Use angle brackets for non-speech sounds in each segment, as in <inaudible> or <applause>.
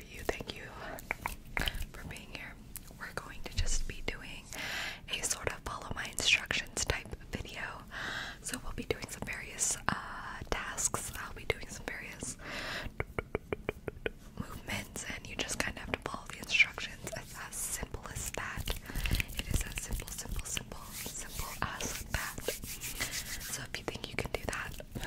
you? Thank you for being here. We're going to just be doing a sort of follow my instructions type video. So we'll be doing some various uh, tasks. I'll be doing some various movements, and you just kind of have to follow the instructions. as simple as that. It is as simple, simple, simple, simple as that. So if you think you can do that,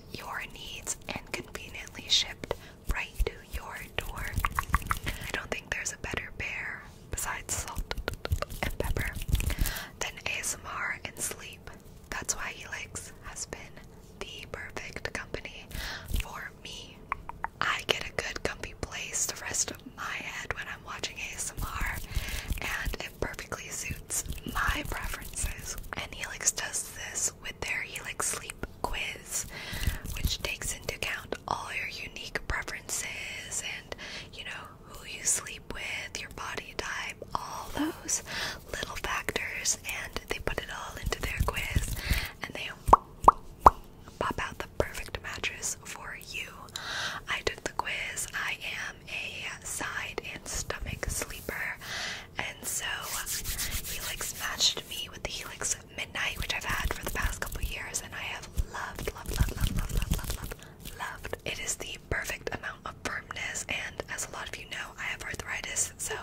your needs and conveniently shipped right to your door. I don't think there's a better bear besides salt and pepper than ASMR and sleep. That's why he likes has been the perfect company for me. I get a good comfy place to rest my head when I'm watching ASMR, and perfectly suits my preferences. And Helix does this with their Helix Sleep Quiz, which takes into account all your unique preferences and, you know, who you sleep with, your body type, all those little factors, and they put it all into their quiz and they pop out the perfect mattress for you. I took the quiz. I am a side and stomach sleeper, and so Helix matched me with the Helix Midnight, which I've had for the past couple years, and I have loved, loved, loved, loved, loved, loved, loved, loved, loved. It is the perfect amount of firmness, and as a lot of you know, I have arthritis, so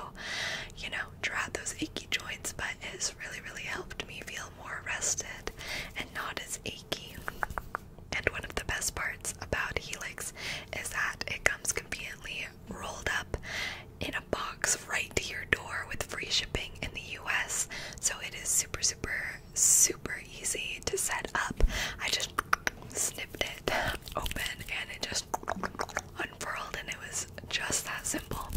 you know, dry those achy joints, but it's really, really helped me feel more rested and not as achy. And one of the best parts about Helix is that it comes companion rolled up in a box right to your door with free shipping in the US. So it is super, super, super easy to set up. I just snipped it <laughs> open and it just unfurled, and it was just that simple.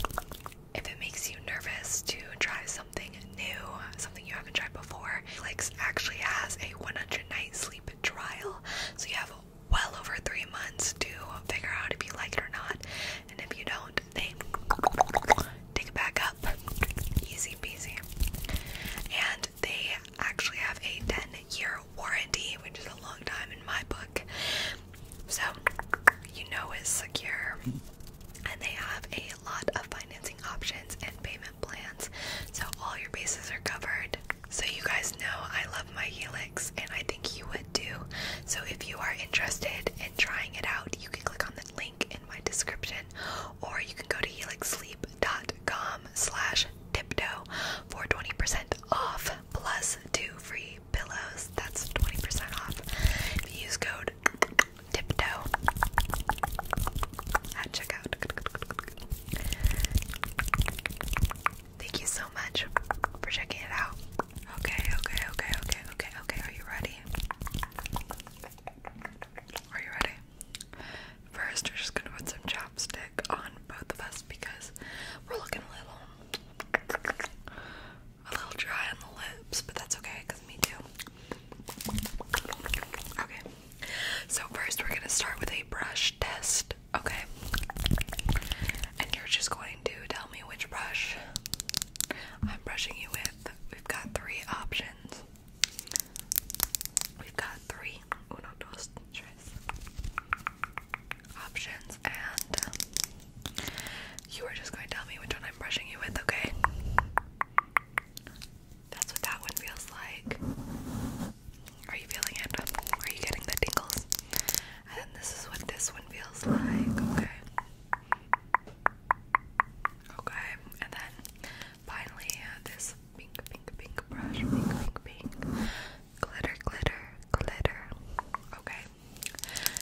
If it makes you nervous to try something new, something you haven't tried before, Netflix actually has a 100 night sleep trial. So you have well over three months to figure out if you like it or not. And if you don't, they take it back up. Easy peasy. And they actually have a 10 year warranty, which is a long time in my book. So you know it's secure. And they have a lot of financing options and payment plans. So all your bases are covered. So you guys know I love my Helix and I think you would too. So if you are interested in trying it out, you can click on the link in my description or you can go to helixsleep.com slash tiptoe for 20% off plus two free pillows. That's 20% off. If you use code tiptoe at checkout. Thank you so much for checking it out. Okay, okay, okay, okay, okay, okay. Are you ready? Are you ready? First, we're just gonna put some chapstick on both of us because we're looking a little, a little dry on the lips, but that's okay because me too. Okay. So first, we're gonna start with a brush test. Okay. And you're just going to tell me which brush I'm brushing you with. We've got three options. We've got three options, and um, you are just going to tell me which one I'm brushing you with, okay? That's what that one feels like. Are you feeling it? Are you getting the tingles? And this is what this one feels like, okay? Okay, and then finally uh, this pink, pink, pink brush, pink, pink, pink, glitter, glitter, glitter. Okay,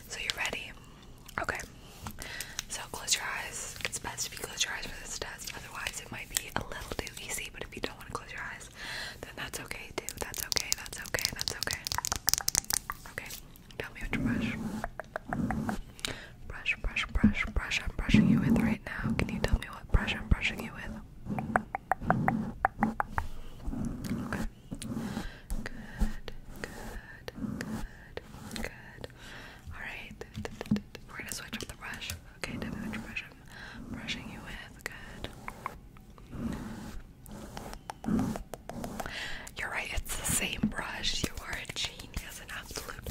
so you're ready. Okay, so close your eyes. It's best if you close your eyes for this test, otherwise, it might be a little too easy. But if you don't want to close your eyes, then that's okay too. That's okay, that's okay, that's okay. Okay, tell me which brush. Brush, brush, brush, brush I'm brushing you with right now. Can you tell me what brush I'm brushing you with? Good, good, good, good. Alright. We're gonna switch up the brush. Okay, tell brush brushing you with. Good. You're right, it's the same brush. You are a genius, an absolute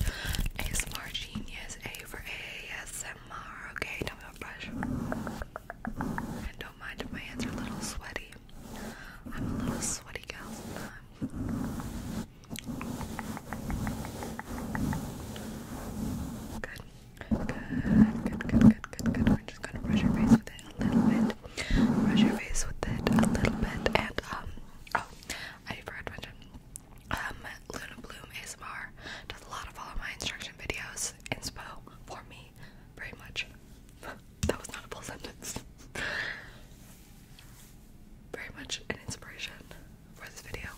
ASMR genius. A for ASMR. Okay, tell me brush. And don't mind if my hands are a little sweaty. I'm a little sweaty gal Good. Good, good, good, good, good. We're just gonna brush your face with it a little bit. Brush your face with it a little bit. And, um, oh, I forgot to mention, um, Luna Bloom ASMR does a lot of all my instruction videos, inspo for me, very much. <laughs> that was not a full sentence. <laughs> very much an inspiration for this video.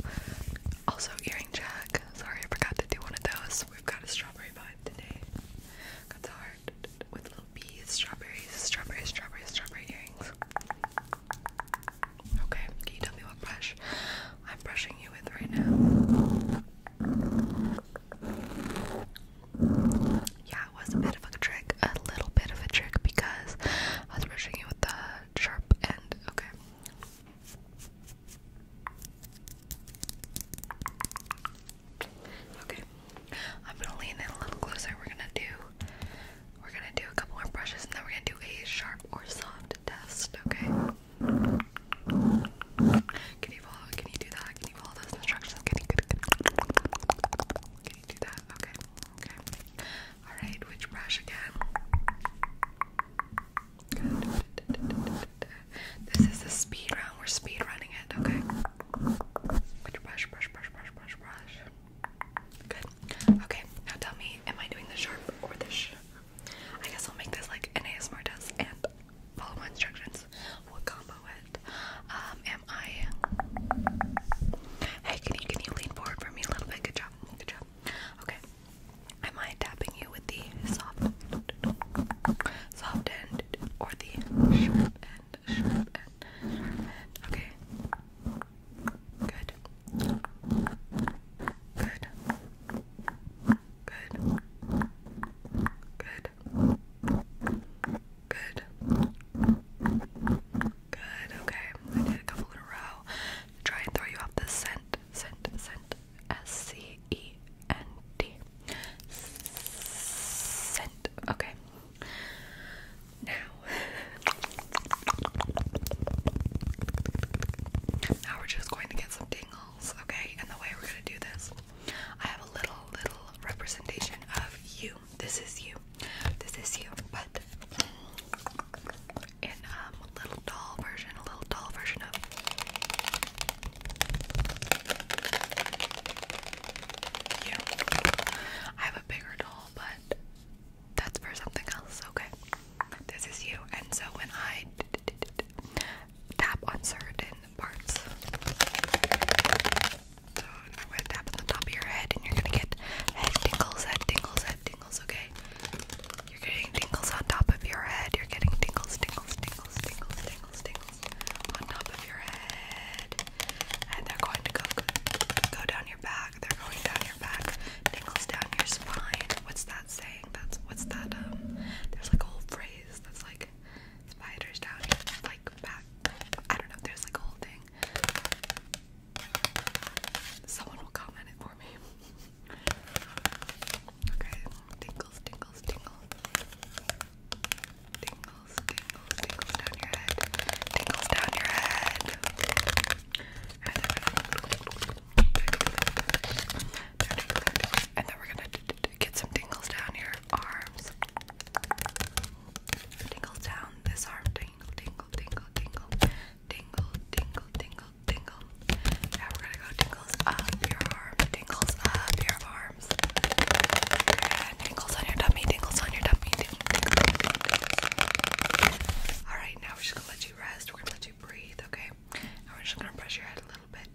Also, earring Jack. Sorry, I forgot to do one of those. We've got a strawberry vibe today. Got the heart with little bees, strawberries, strawberries, strawberries, strawberry earrings. Okay, can you tell me what brush I'm brushing you with right now? Yeah, it was a bit of a trick, a little bit of a trick because I was brushing you with the sharp end. Okay. Okay, I'm gonna lean in a little closer. We're gonna do, we're gonna do a couple more brushes, and then we're gonna do a sharp or soft test. Okay. Can you follow? Can you do that? Can you follow those instructions? Can you, do that? Okay. Okay. All right. Which brush again? This is the speed round. We're speed running it, okay? Put brush, brush, brush, brush, brush, brush. Good. Okay, now tell me, am I doing the sharp or the sh? I guess I'll make this like an ASMR and follow instructions. We'll combo it. Um, am I? Hey, can you can you lean forward for me a little bit? Good job. Good job. Okay. Am I tapping you with the soft, end or the sharp end? Okay. Good. Good. Good. Good. Good. Good. Okay. I did a couple in a row. Try and throw you off the scent, scent, scent, S C E N D. Scent. Okay. Now, now we're just going to get some dingles. okay? And the way we're going to do this, I have a little, little representation of you. This is you. This is you, but in um, a little doll version, a little doll version of yeah. I have a bigger doll, but that's for something else, okay? This is you, and so when I tap on certain parts, so I'm gonna tap on the top of your head, and you're gonna get head tingles, head tingles, head tingles, okay? You're getting tingles on top of your head. You're getting tingles, tingles, tingles, tingles, tingles, tingles on top of your head. And they're going to go, go down your back. They're going down your back. Tingles down your spine. What's that saying? That's what's that um there's like a whole phrase that's like spiders down your like back. I don't know, there's like a whole thing. Someone will comment it for me. <laughs> Okay, tingles, tingles, tingles. Tingles, tingles, tingles down your head. Tingles down your head. And then we're gonna get some tingles down your arms. Tingle down this arm. Tingle, tingle, tingle, tingle. Tingle, tingle, tingle, tingle. Yeah, we're gonna go tingles up your arm, tingles up your arms. Good. Tingles on your tummy, tingles on your tummy, tingles. Alright, now we're just gonna let you rest. We're gonna let you breathe, okay? Now we're just gonna brush your head a little bit.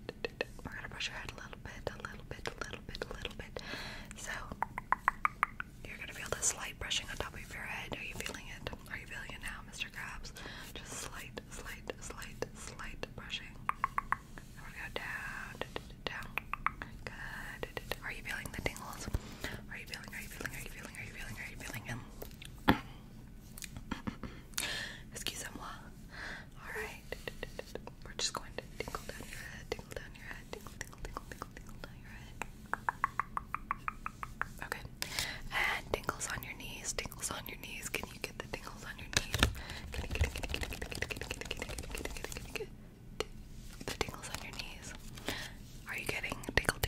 We're gonna brush your head a little bit, a little bit, a little bit, a little bit. So you're gonna feel this light brushing on top of your head. Are you feeling it? Are you feeling it now, Mr. Krabs? Just slight, slight, slight, slight, slight brushing. I'm gonna go down, down. Good. Are you feeling the tingles? Are you feeling? Are you feeling? Are you feeling? Are you feeling? Are you feeling him? <coughs> Excusez-moi. All right. We're just going to tingle down your head, tingle down your head, tingle, tingle, tingle, tingle, tingle down your head. Okay. And tingles on your knees, tingles on your knees. Can and you get the tingles on your knees. The tingles on your knees. Are you getting tingle,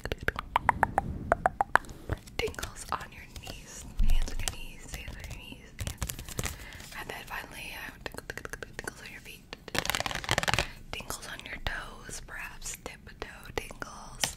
Tingles on your knees, hands on your knees, hands on your knees, hands. And then finally, uh, tingle, tingles on your feet, tingles on your toes, perhaps tip toe tingles.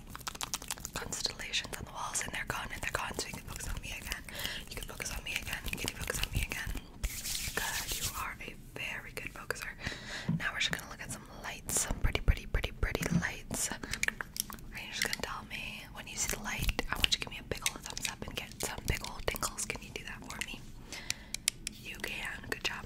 constellations on the walls and they're gone and they're gone so you can focus on me again. You can focus on me again. You can focus on me again. Good. You are a very good focuser. Now we're just gonna look at some lights, some pretty, pretty, pretty, pretty lights. And you're just gonna tell me when you see the light, I want you to give me a big old thumbs up and get some big old tingles. Can you do that for me? You can. Good job.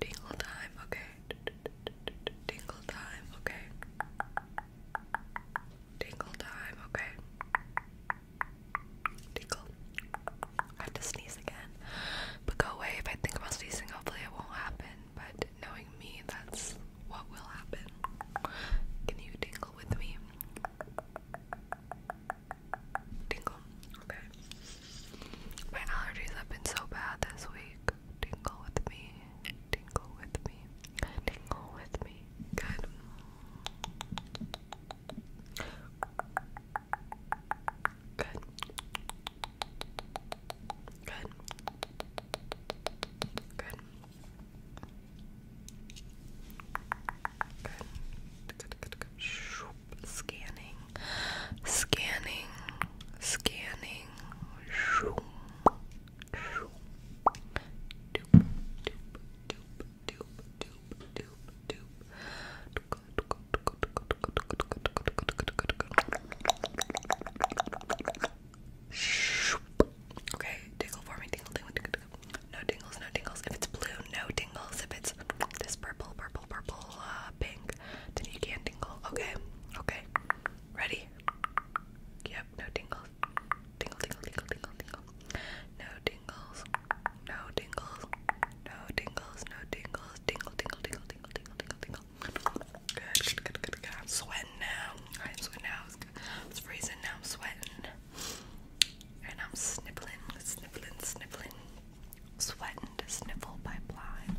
Tingle time, okay. Tingle time, okay. Tingle time, okay. Tingle. I have to again. But go away if I think about sneezing, hopefully it won't happen. But knowing me, that's what will happen. Can you tingle with me? Tingle. Okay. My allergies have been so bad this week. Tingle with me. Tingle with me. Tingle with me. Good. Good. Good. Good. Good. Good. Good. Good. Scanning scanning, scanning. Shoop, shoop. Doop, doop, doop, doop, doop, doop, doop. Okay, tingle for me, tingle, tingle, tingle, tingle. No tingles, no tingles. If it's blue, no tingles. If it's this purple, purple, purple, uh, pink, then you can tingle. Okay, okay. Ready? Yep, no tingles. Tingle, tingle, tingle, tingle, tingle. No tingles. No tingles. No tingles. No tingles. Tingle, tingle, tingle, tingle, tingle, tingle, tingle. Good, I'm sweating now. I am sweating now. It's, it's freezing now. I'm sweating. And I'm sniffling, sniffling, sniffling. Sweat and sniffle by blind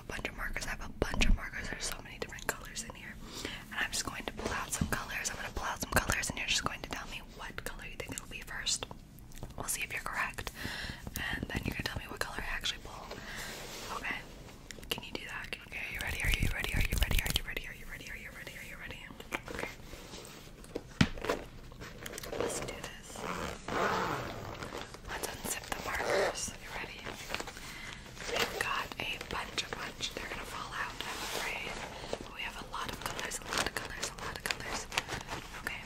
a bunch of markers. I have a bunch of markers. There's so many different colors in here. And I'm just going to pull out some colors. I'm going to pull out some colors, and you're just going to tell me what color you think it'll be first. We'll see if you're correct. And then you're going to tell me what color I actually pull. Okay. Can you do that? Can you, are you ready? Are you ready? Are you ready? Are you ready? Are you ready? Are you ready? Are you ready? Let's do this. Let's unzip the markers. You ready? We've got a bunch, of bunch. They're gonna fall out, I'm afraid. we have a lot of colors, a lot of colors, a lot of colors. Okay.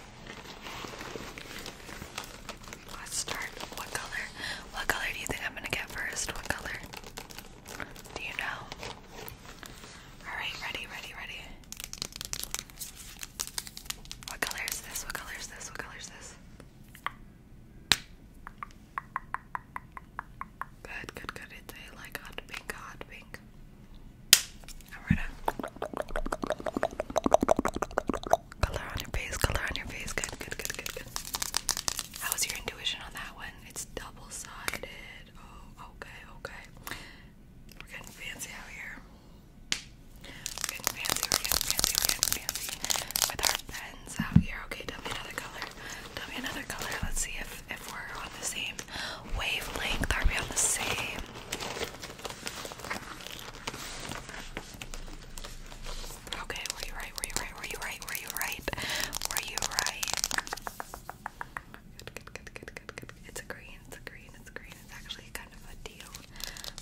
Let's start. What color? What color do you think I'm gonna get first? What color? Do you know? Alright, ready, ready, ready. What color is this? What color is this? What color is this? Good, good, good. It's a like hot pink, hot pink. Alright. Uh. Color on your face, color on your face. Good, good, good, good, good. How was your intuition on that one? It's double sided. Oh, okay, okay. We're getting fancy out here we fancy, fancy, fancy with our pens out here. Okay, tell me another color. Tell me another color. Let's see if, if we're on the same wavelength. Are we on the same? Okay, were you right? Were you right? Were you right? Were you right? Were you right? Good, good, good, good, good, good. It's a green, it's a green, it's green. It's actually kind of a teal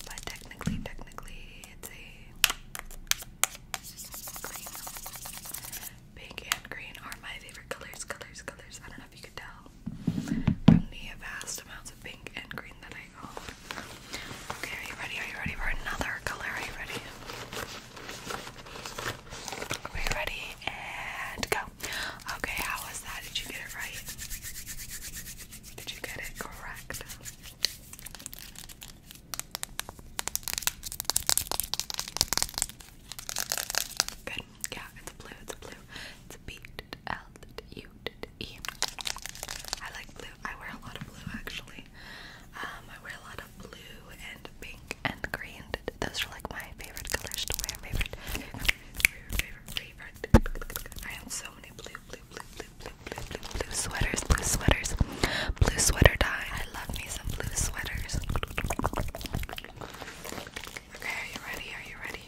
but technically, technically, it's a green. Pink and green are my favorite colors, colors, colors. I don't know if you could tell from the vast amounts of pink and green that I own. Okay, are you ready? Are you ready for another color? Are you ready? Are ready? And go. Okay, how was that? Did you get it right? Did you get it correct? Good. Yeah, it's blue, it's blue. It's B L U E. I like blue. I wear a lot of blue actually. Um, I wear a lot of blue and pink and green. Those are like my favorite colors to wear. Favorite, favorite, favorite, favorite. I have so many blue, blue, blue, blue, blue, blue, blue, sweaters, blue sweaters, blue sweater dye. I love me some blue sweaters. Okay, are you ready? Are you ready?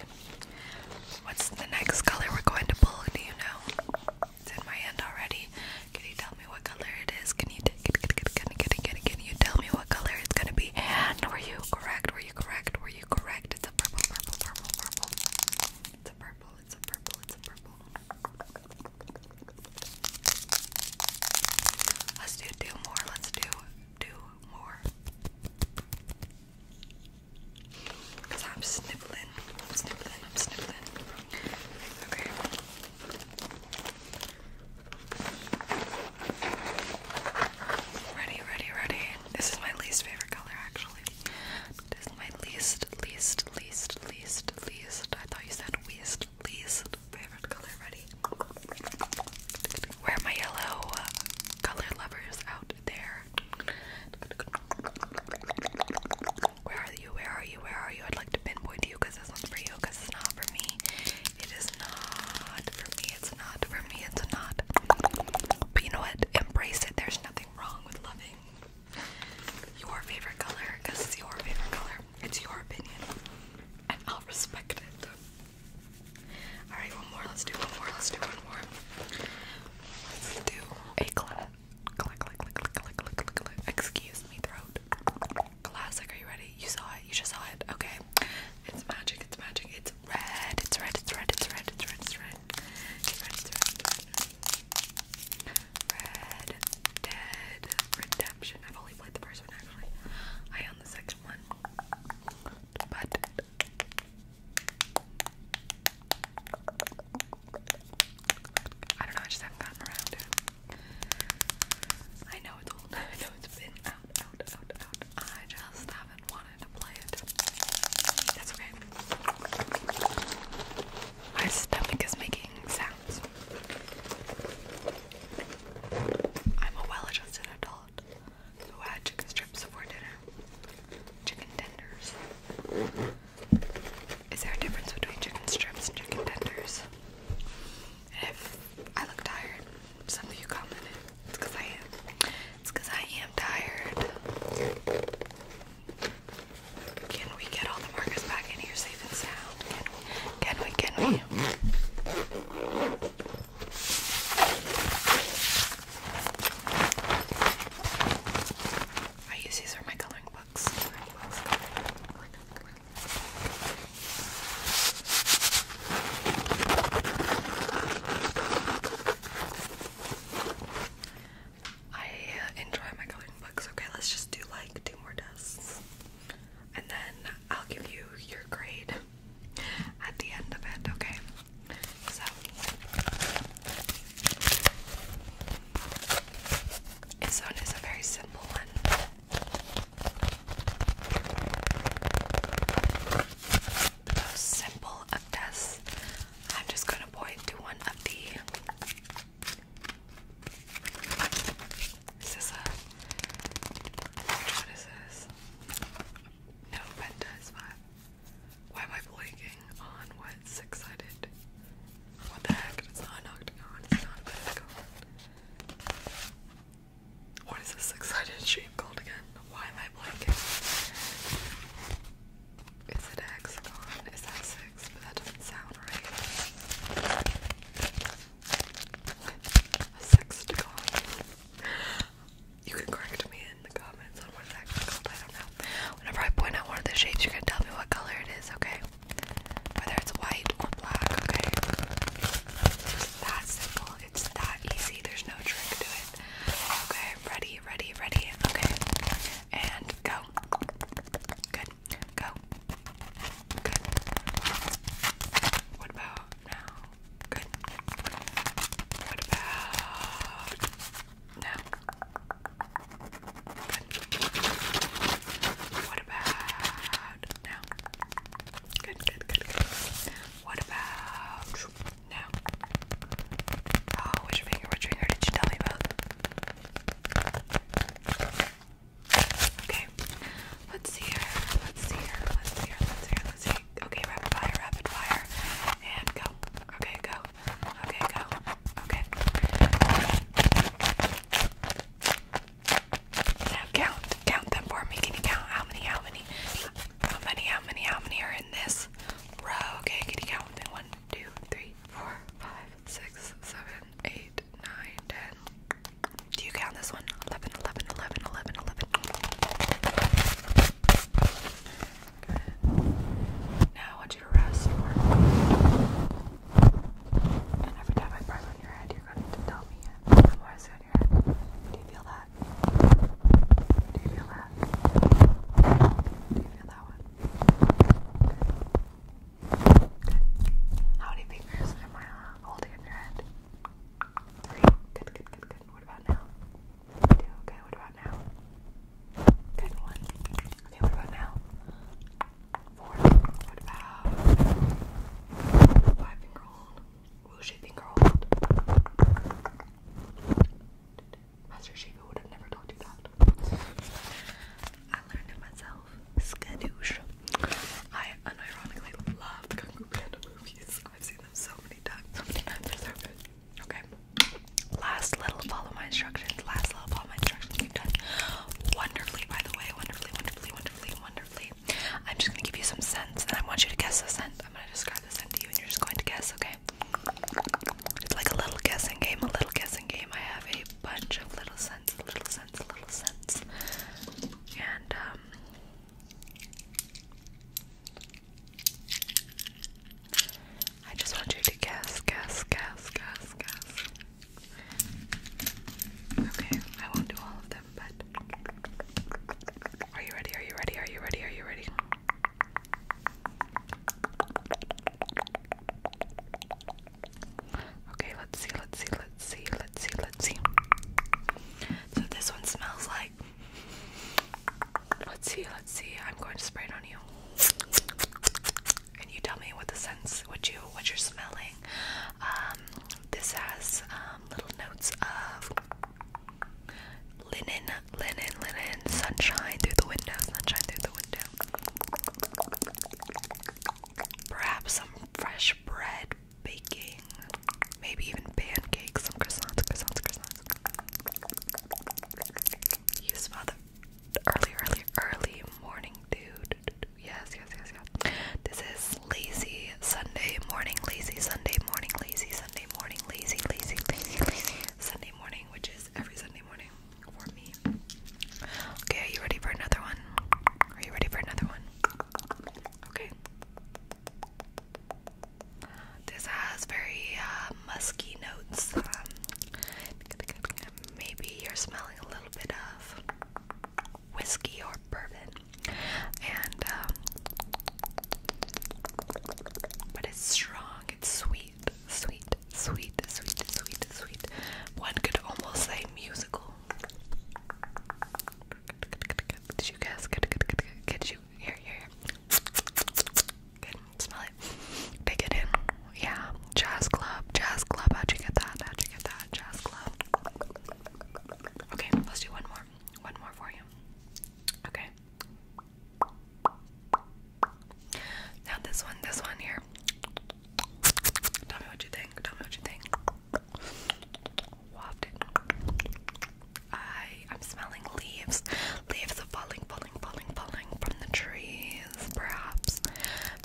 What's the next color we're going to pull? Do you know? It's in my hand already. Can you tell me what color it is? Can you take can, can, can, can, can, can you tell me what color it's gonna be? And were you correct? Were you correct? Were you correct? It's a purple, purple, purple, purple. It's a purple it's a purple, it's a purple. Let's do two more, let's do two more. Cause I'm sniffling, sniffling, I'm sniffling. Okay. Ready, ready, ready. This is my least favorite color actually actually. That is my least, least, least, least, least. I thought you said least, least favorite color. Ready? Where are my yellow color lovers out there? Where are you? Where are you? Where are you? I'd like to pinpoint you because this one's for you, because it's not for me. It is not for me. It's not for me. It's not. But you know what? Embrace it. There's nothing wrong with loving your favorite color because it's your favorite color. It's your opinion, and I'll respect it. Alright, one more. Let's do one more. Let's do one more. Let's do a clap. Click, click, click, click, click, click, click, click. Excuse me, throat. Classic, are you ready? You saw it. You just saw it. Okay. It's magic. It's magic. It's red. It's red. It's red. It's red. It's red. It's red. It's red. Red Dead Redemption. I've only played the first one actually. I own the second one. But I don't know, I just haven't gotten around to it. I know it's old, <laughs> I know it's been out, out, out, out. I just haven't wanted to play it. That's okay. My stomach is making sounds. I'm a well adjusted adult who had chicken strips for dinner. Chicken tenders. Is there a difference between chicken strips and chicken tenders? if I look tired, some of you commented. It's because I am. It's because I am tired. Can we get all the markers back in here safe and sound? Can we? Can we? I use these are my Coloring books. I enjoy my coloring books. Okay, let's just do like two more tests. And then I'll give you your grade at the end of it, okay? So this one is a very simple one. The most simple of I'm just gonna point to one of the is this a what is this? No, Penta Why am I blanking on what six sided? What the heck? It's not an octagon, it's not a pentagon. What is this six sided shape called again? Why am I blanking? Is a hexagon? Is that six? that doesn't sound right. A sextagon. You can correct me in the comments on what it's actually called. I don't know. Whenever I point out one of the shades, you're tell me what color it is, okay? Whether it's white or black, okay? It's that simple. It's that easy. There's no trick to it. Okay, ready, ready, ready. Okay, and go. Good. Go. Good. What about now? Good. What about now? Good. What about now? Good, good, good, good. What about now? Oh, which finger, which finger did you tell me about? Okay. Let's see here. Let's see here. Let's see here. Let's see here. Let's see. Okay, rapid fire, rapid fire. And go. Okay, go. Okay, go. Okay. Now count. Count them for me. Can you count how many, how many, how many, how many, how many are in this row? Okay, can you count? One, two, three, four, five, six, seven, eight, nine, ten. Do you count this one? 11, Now I want you to rest And every time I press on your head, you're going to tell me it. I'm on your head. Do you feel that? Do you feel that? Do you feel that one? How many fingers am I uh, holding in your head? Three. Good, good, good, good. What about now? Two. Okay, what about now? one. Okay, what about now? Four. What about five finger hold? Wushu finger hold. Master Shiva would have never told you that. I learned it myself myself, I unironically love Kung Fu Panda movies. I've seen them so many times. So many times. Okay. Last little follow my instructions. Last little follow my instructions. You've done wonderfully, by the way. Wonderfully, wonderfully, wonderfully, wonderfully. I'm just gonna give you some scents, and I want you to guess the scent. I'm gonna describe the scent to you, and you're just going to guess. Okay. It's like a little guessing game. A little guessing game. I have a bunch of little scents. Little and, um, I just want you to guess, guess, guess, guess, guess. Okay, I won't do all of them, but are you ready? Are you ready? Are you ready? Are you ready? Okay, let's see, let's see, let's see, let's see, let's see. So this one smells like. Let's see, let's see. I'm going to spray it on you, Can you tell me what the sense, what you, what you're smelling. Um, this has um, little notes of linen, linen, linen, sunshine through the window, sunshine through the window. Perhaps some fresh bread baking. Maybe even pancakes, some croissants, croissants, croissants. You smell the early, early, early morning dude. Yes, yes, yes, yes. This is lazy Sunday morning, lazy Sunday morning, lazy Sunday morning, lazy, lazy, lazy, lazy Sunday morning, which is every Sunday morning. Okay, are you ready for another one? Are you ready for another one? Okay. This has very uh, musky notes. Um, maybe you're smelling a little bit of whiskey or bourbon, and um, but it's strong. It's sweet, sweet, sweet, sweet, sweet, sweet. One could almost say musical. Did you guess? Good, good, good, good. Could you? Here, here, here. Good. Smell it. Pick it in. Yeah. Jazz club. Jazz club. How'd you get that? How'd you get that? Jazz club. Okay. Let's do one more. One more for you. Okay. Now this one. This one here. Tell me what you think. Tell me what you think. Waft it. I I'm smelling leaves. Leaves are falling, falling, falling, falling from the trees, perhaps.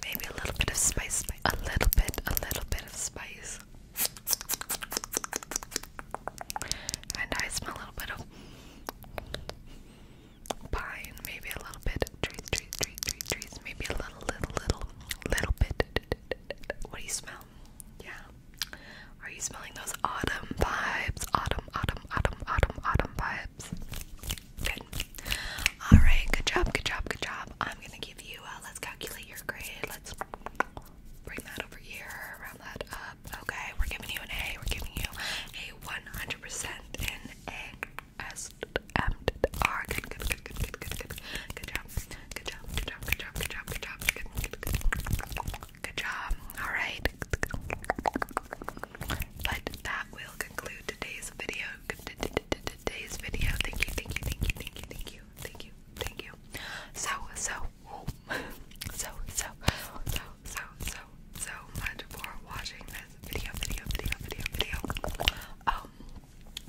Maybe a little bit of spice, spice. a little bit, a little bit of spice. And I smell a little bit of pine, maybe a little bit Trees, trees, trees, trees, Maybe a little, little, little, little bit. What do you smell? Yeah. Are you smelling those autumn vibes? Autumn, autumn, autumn, autumn, autumn vibes. Good. All right. Good job. Good job. Good job. I'm gonna give you. Uh, let's calculate your grade. Let's bring that over here. Round that up. Okay. We're giving you an A. We're giving you a 100% in A. S M R. Good, good, good, good, good, good, good. Good job. Good job. Good job. Good job. Good job. Good job. Good, good, good. good job. All right. But that will conclude today's video. Today's video. Thank you. Thank you. Thank you. Thank you. Thank you. Thank you. Thank you. So so <laughs> so so so so so so much for watching this video video video video video. Oh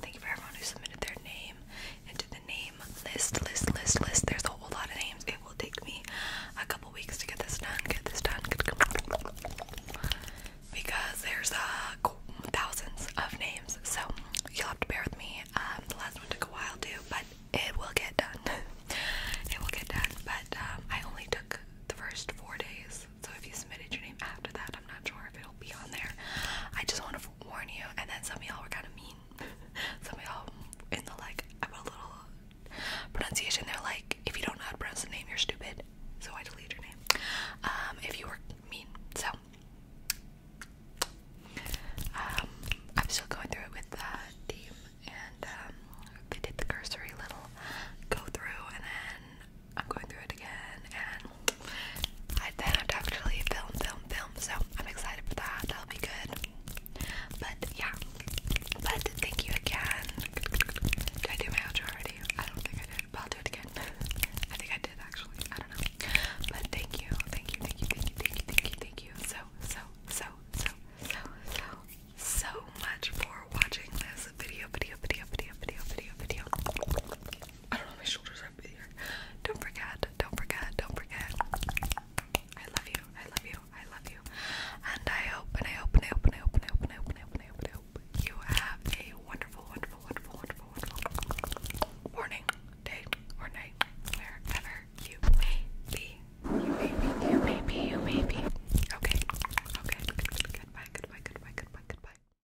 thank you for everyone who submitted their name into the name list, list, list, list. There's a whole lot of names. It will take me a couple weeks to get this done. Get this done. Because there's uh, thousands of names, so you'll have to bear with me. Um, the last one took a while too, but it will get done. <laughs> it will get done. But um, I only took the first four days so if you submitted your name after that, I'm not sure if it'll be on there. I just want to warn you. And then some of y'all were kind of mean. <laughs> some of y'all in the like, I put a little pronunciation. They're like, if you don't know how to pronounce the name, you're stupid. So I delete your name. Um, if you were mean. So um, I'm still going through it with the uh, and um, did the cursory little go through, and then I'm going through it again, and I then have to actually film, film, film. So I'm excited for that. That'll be good. But yeah. But thank you again. Did I do my outro already? I don't think I did, but I'll do it again. <laughs> I think I did actually. I don't know. But thank you, thank you, thank you, thank you, thank you, thank you, thank you. So, so, so, so, so, so, so much for watching this video, video, video, video, video, video, video. I don't know, my shoulders are big here. Don't forget, don't forget, don't forget. I love you, I love you, I love you. And I hope, and I hope, and I hope, and I hope, and I hope, and I hope, and I hope, you have a wonderful, wonderful, wonderful, wonderful, wonderful morning, day, or night, wherever you may be. You may be, you may be, you may be. Okay, okay, goodbye, goodbye, goodbye, goodbye, goodbye.